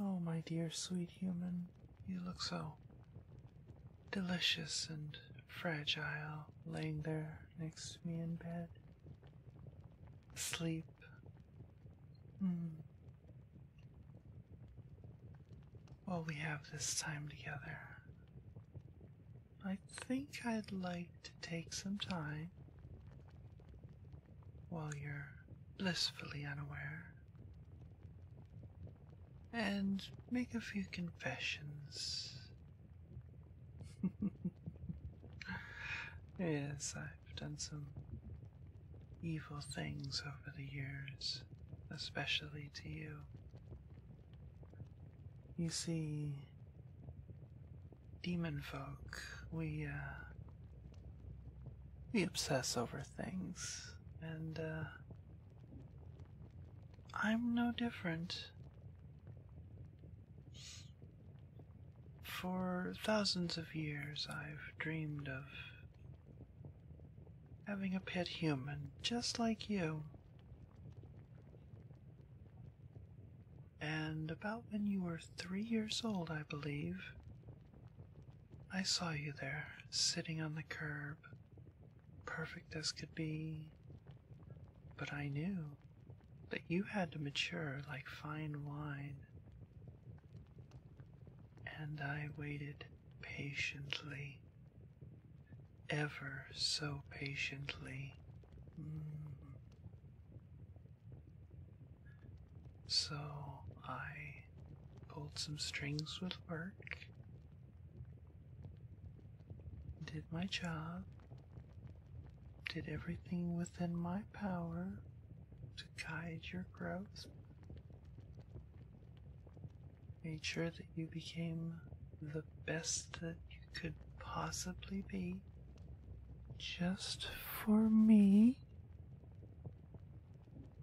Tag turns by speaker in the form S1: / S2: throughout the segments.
S1: Oh, my dear sweet human, you look so delicious and fragile laying there next to me in bed. asleep. Hmm. While we have this time together, I think I'd like to take some time while you're blissfully unaware, and make a few confessions. yes, I've done some evil things over the years, especially to you. You see, demon folk, we, uh, we obsess over things, and uh, I'm no different. For thousands of years, I've dreamed of having a pet human just like you. And about when you were three years old, I believe, I saw you there, sitting on the curb, perfect as could be. But I knew that you had to mature like fine wine. And I waited patiently, ever so patiently. Mm. So I pulled some strings with work, did my job, did everything within my power to guide your growth, made sure that you became the best that you could possibly be just for me.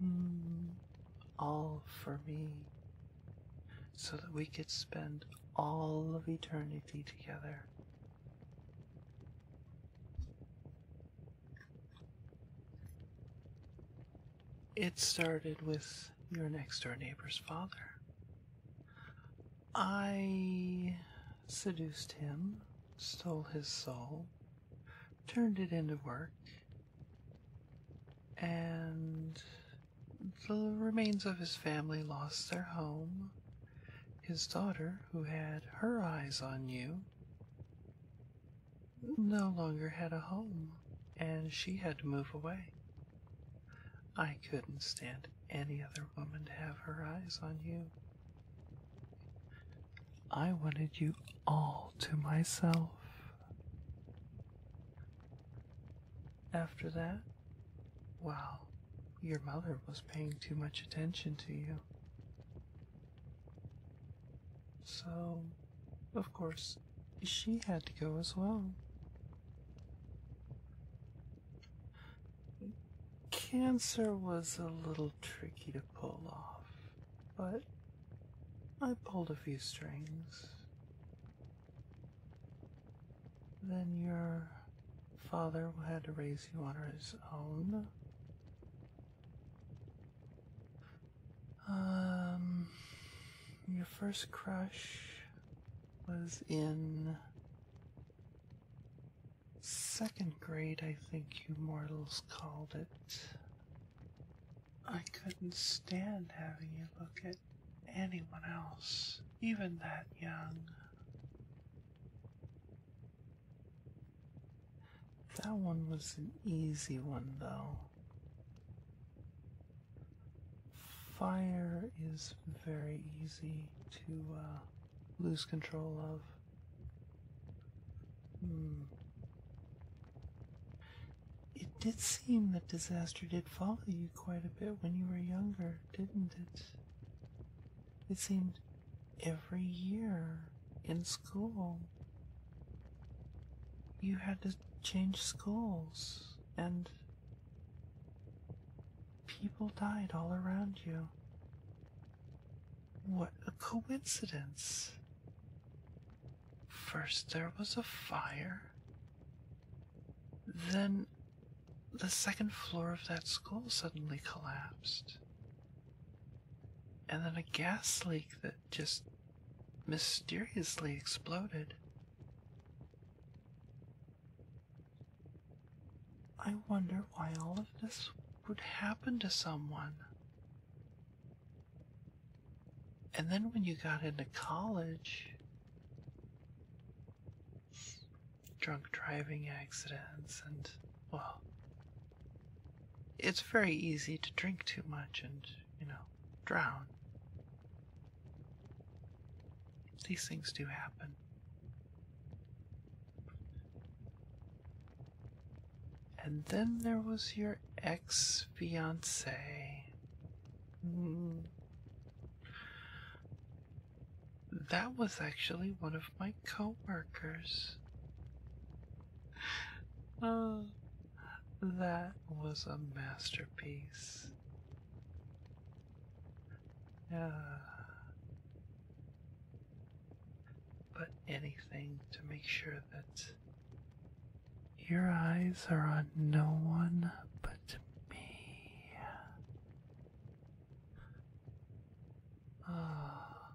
S1: Mm, all for me so that we could spend all of eternity together. It started with your next door neighbor's father. I seduced him, stole his soul, turned it into work, and the remains of his family lost their home. His daughter, who had her eyes on you, no longer had a home, and she had to move away. I couldn't stand any other woman to have her eyes on you. I wanted you all to myself. After that, well, your mother was paying too much attention to you. So, of course, she had to go as well. Cancer was a little tricky to pull off but I pulled a few strings. Then your father had to raise you on his own. Um, your first crush was in second grade, I think you mortals called it. I couldn't stand having you look at anyone else, even that young. That one was an easy one, though. Fire is very easy to uh, lose control of. Hmm. It did seem that disaster did follow you quite a bit when you were younger, didn't it? It seemed every year in school you had to change schools and people died all around you. What a coincidence. First there was a fire, then the second floor of that school suddenly collapsed. And then a gas leak that just mysteriously exploded. I wonder why all of this would happen to someone. And then when you got into college, drunk driving accidents, and well, it's very easy to drink too much and, you know, drown. These things do happen. And then there was your ex fiance. Hmm. That was actually one of my coworkers. Uh, that was a masterpiece. Yeah but anything to make sure that your eyes are on no one but me. Ah,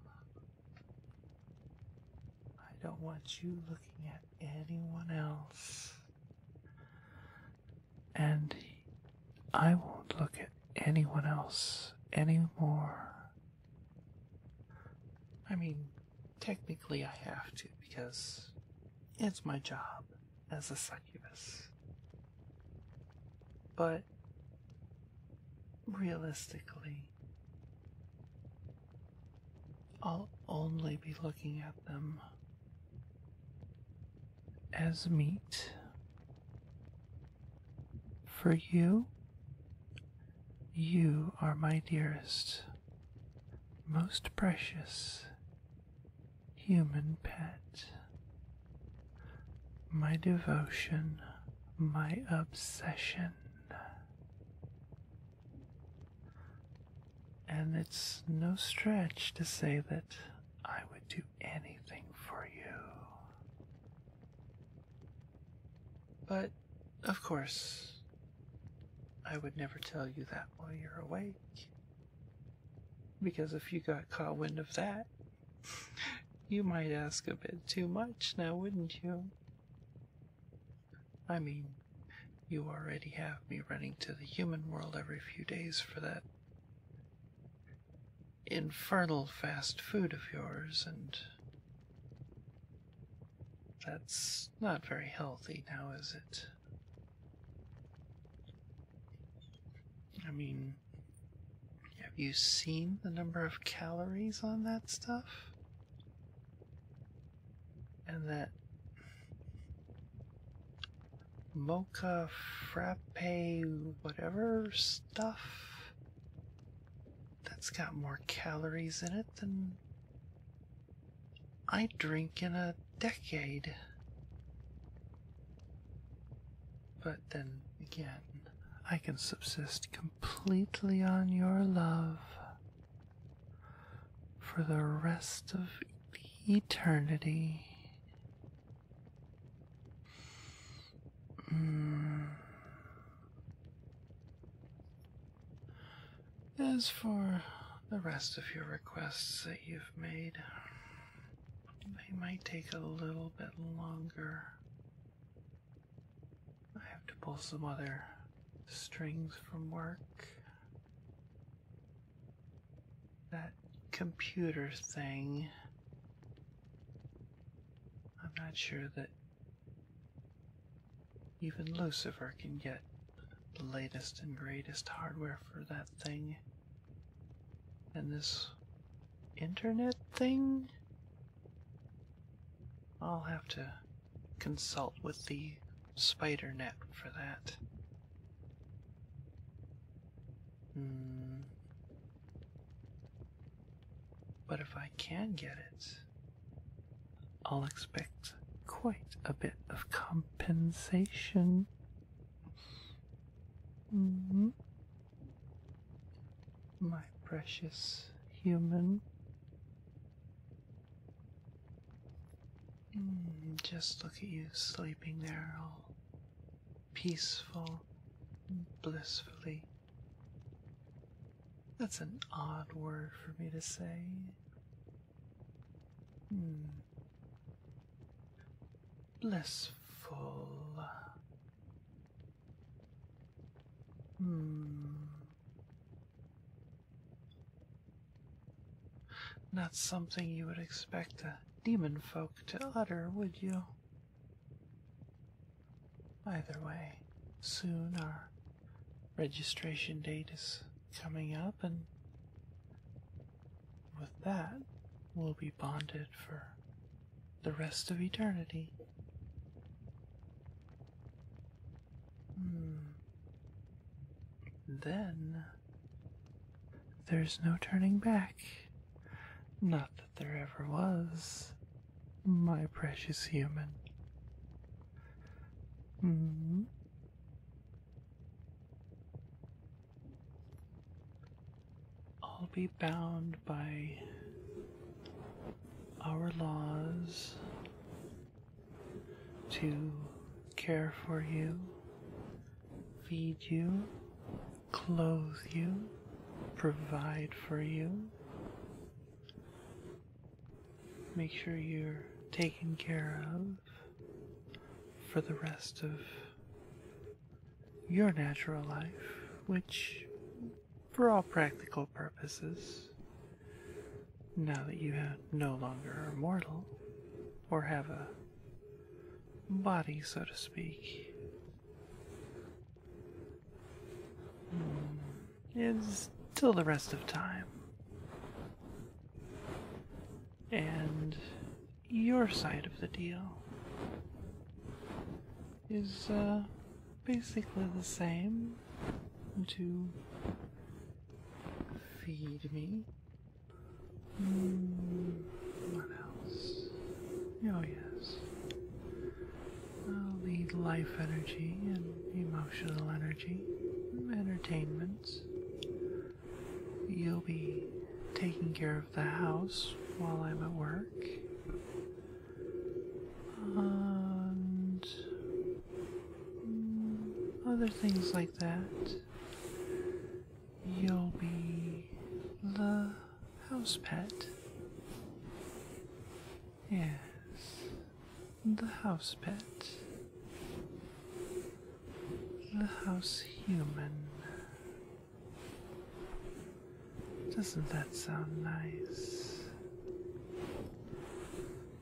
S1: I don't want you looking at anyone else. And I won't look at anyone else anymore I mean, technically I have to because it's my job as a succubus. But realistically, I'll only be looking at them as meat for you, you are my dearest, most precious human pet. My devotion, my obsession. And it's no stretch to say that I would do anything for you. But of course, I would never tell you that while you're awake. Because if you got caught wind of that, you might ask a bit too much now, wouldn't you? I mean, you already have me running to the human world every few days for that infernal fast food of yours, and that's not very healthy now, is it? I mean, have you seen the number of calories on that stuff? And that mocha frappe whatever stuff? That's got more calories in it than I drink in a decade. But then again, I can subsist completely on your love for the rest of eternity. Hmm. As for the rest of your requests that you've made, they might take a little bit longer. I have to pull some other strings from work. That computer thing. I'm not sure that even Lucifer can get the latest and greatest hardware for that thing. And this internet thing? I'll have to consult with the spider net for that. Hmm. But if I can get it, I'll expect quite a bit of compensation. Mm-hmm. My precious human. Mm, just look at you sleeping there, all peaceful, blissfully that's an odd word for me to say. Hmm. Blissful. Hmm. Not something you would expect a demon folk to utter, would you? Either way, soon our registration date is coming up, and with that, we'll be bonded for the rest of eternity. Hmm. Then, there's no turning back. Not that there ever was my precious human. Mm-hmm. I'll be bound by our laws to care for you, feed you, clothe you, provide for you, Make sure you're taken care of for the rest of your natural life, which, for all practical purposes, now that you no longer are mortal or have a body, so to speak, it's till the rest of time. And your side of the deal is uh, basically the same to feed me. Hmm, what else? Oh, yes. I'll need life energy and emotional energy, entertainments. You'll be taking care of the house while I'm at work. And mm, other things like that. You'll be the house pet. Yes, the house pet, the house human. Doesn't that sound nice?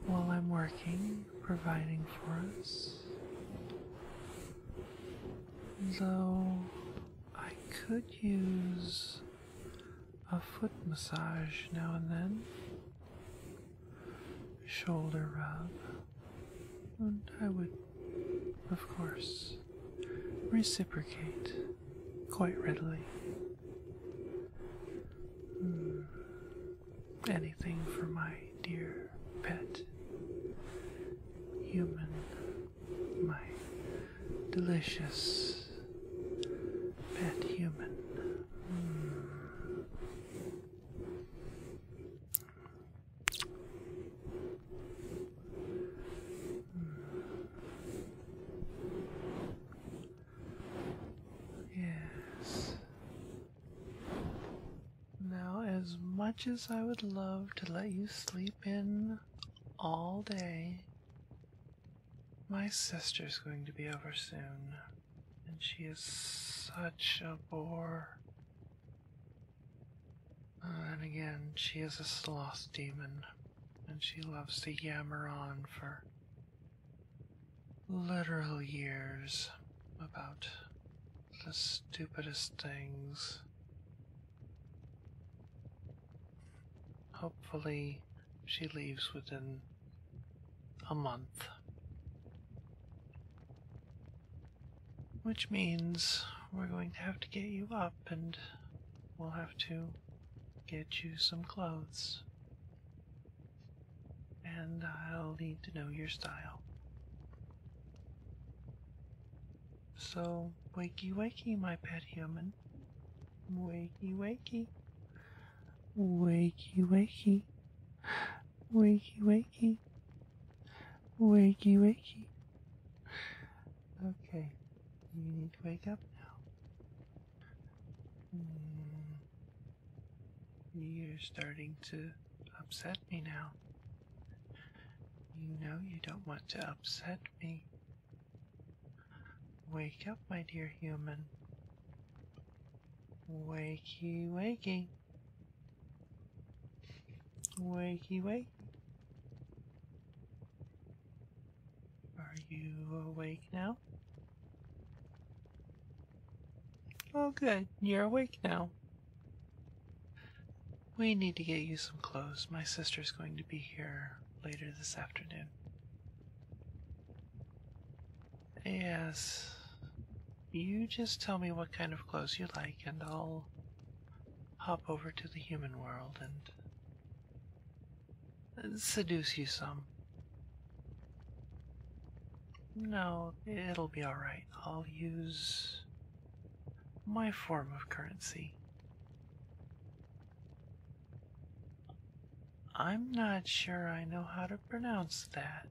S1: While I'm working, providing for us, though I could use a foot massage now and then, shoulder rub, and I would, of course, reciprocate quite readily. Hmm. Anything for my dear pet human, my delicious pet human. Hmm. Yes. Now, as much as I would love to let you sleep in all day, my sister's going to be over soon, and she is such a bore. Uh, and again, she is a sloth demon, and she loves to yammer on for literal years about the stupidest things. Hopefully, she leaves within a month. Which means we're going to have to get you up and we'll have to get you some clothes. And I'll need to know your style. So, wakey wakey, my pet human. Wakey, wakey. Wakey, wakey. Wakey, wakey. Wakey, wakey. Okay, you need to wake up now. Hmm, you're starting to upset me now. You know you don't want to upset me. Wake up, my dear human. Wakey, wakey. Wakey, wakey. Are you awake now? Oh, good. You're awake now. We need to get you some clothes. My sister's going to be here later this afternoon. Yes. You just tell me what kind of clothes you like, and I'll hop over to the human world and seduce you some. No, it'll be alright. I'll use my form of currency. I'm not sure I know how to pronounce that.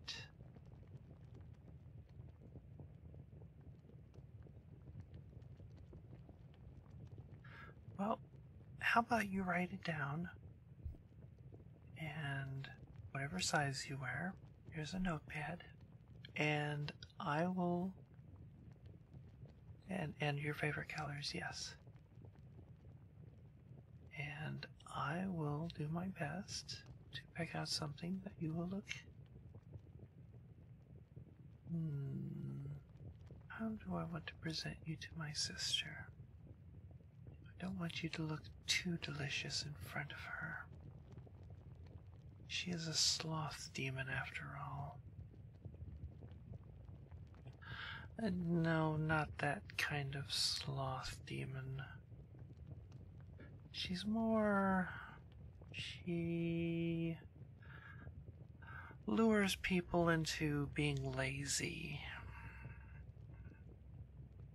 S1: Well, how about you write it down? And whatever size you wear, here's a notepad. And I will. And, and your favorite colors, yes. And I will do my best to pick out something that you will look. Hmm. How do I want to present you to my sister? I don't want you to look too delicious in front of her. She is a sloth demon after all, uh, no, not that kind of sloth demon. She's more. She lures people into being lazy.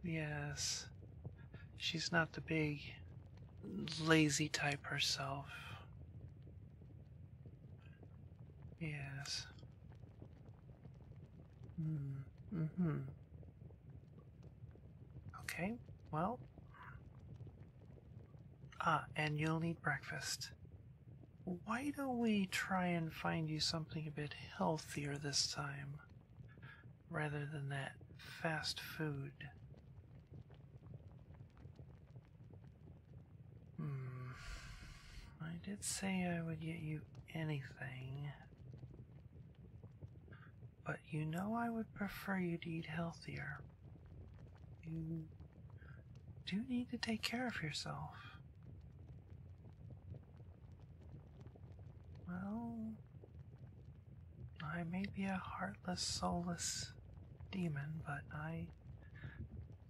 S1: Yes, she's not the big lazy type herself. Yes. Mm, mm-hmm. Okay, well. Ah, and you'll need breakfast. Why don't we try and find you something a bit healthier this time, rather than that fast food? Hmm. I did say I would get you anything. But you know I would prefer you to eat healthier. You do need to take care of yourself. Well, I may be a heartless, soulless demon, but I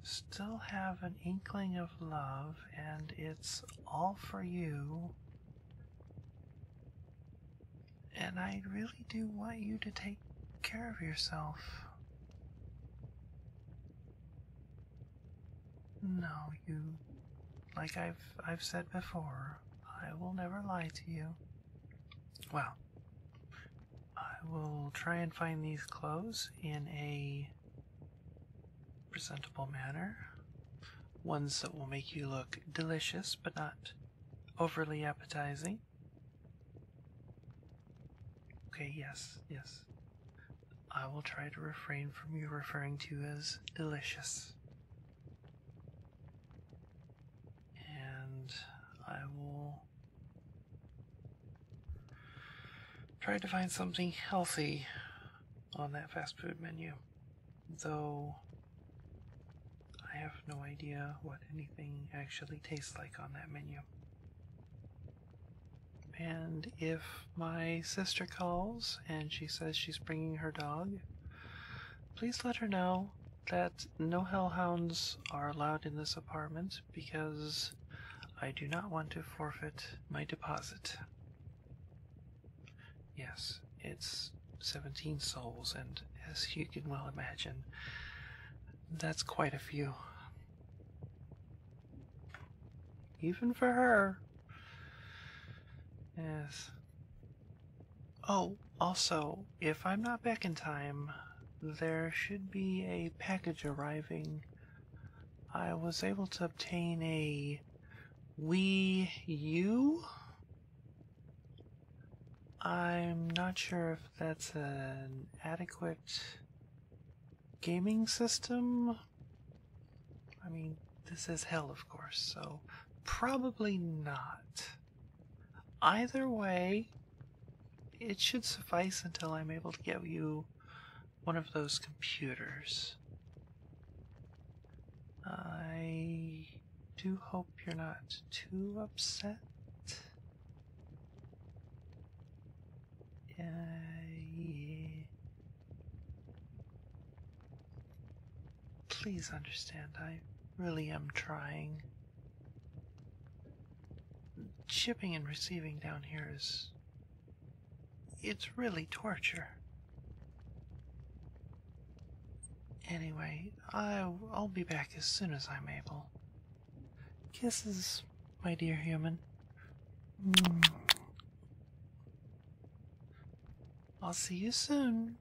S1: still have an inkling of love, and it's all for you. And I really do want you to take care of yourself. No, you like I've I've said before, I will never lie to you. Well, I will try and find these clothes in a presentable manner, ones that will make you look delicious but not overly appetizing. Okay, yes, yes. I will try to refrain from you referring to as delicious. And I will Tried to find something healthy on that fast food menu, though I have no idea what anything actually tastes like on that menu. And if my sister calls and she says she's bringing her dog, please let her know that no hellhounds are allowed in this apartment because I do not want to forfeit my deposit. Yes, it's 17 souls, and as you can well imagine, that's quite a few. Even for her. Yes. Oh, also, if I'm not back in time, there should be a package arriving I was able to obtain a Wii U? I'm not sure if that's an adequate gaming system. I mean, this is hell, of course, so probably not. Either way, it should suffice until I'm able to get you one of those computers. I do hope you're not too upset. yeah. Please understand, I really am trying. Chipping and receiving down here is it's really torture. Anyway, I'll, be back as soon as I'm able. Kisses, my dear human. Mm. I'll see you soon.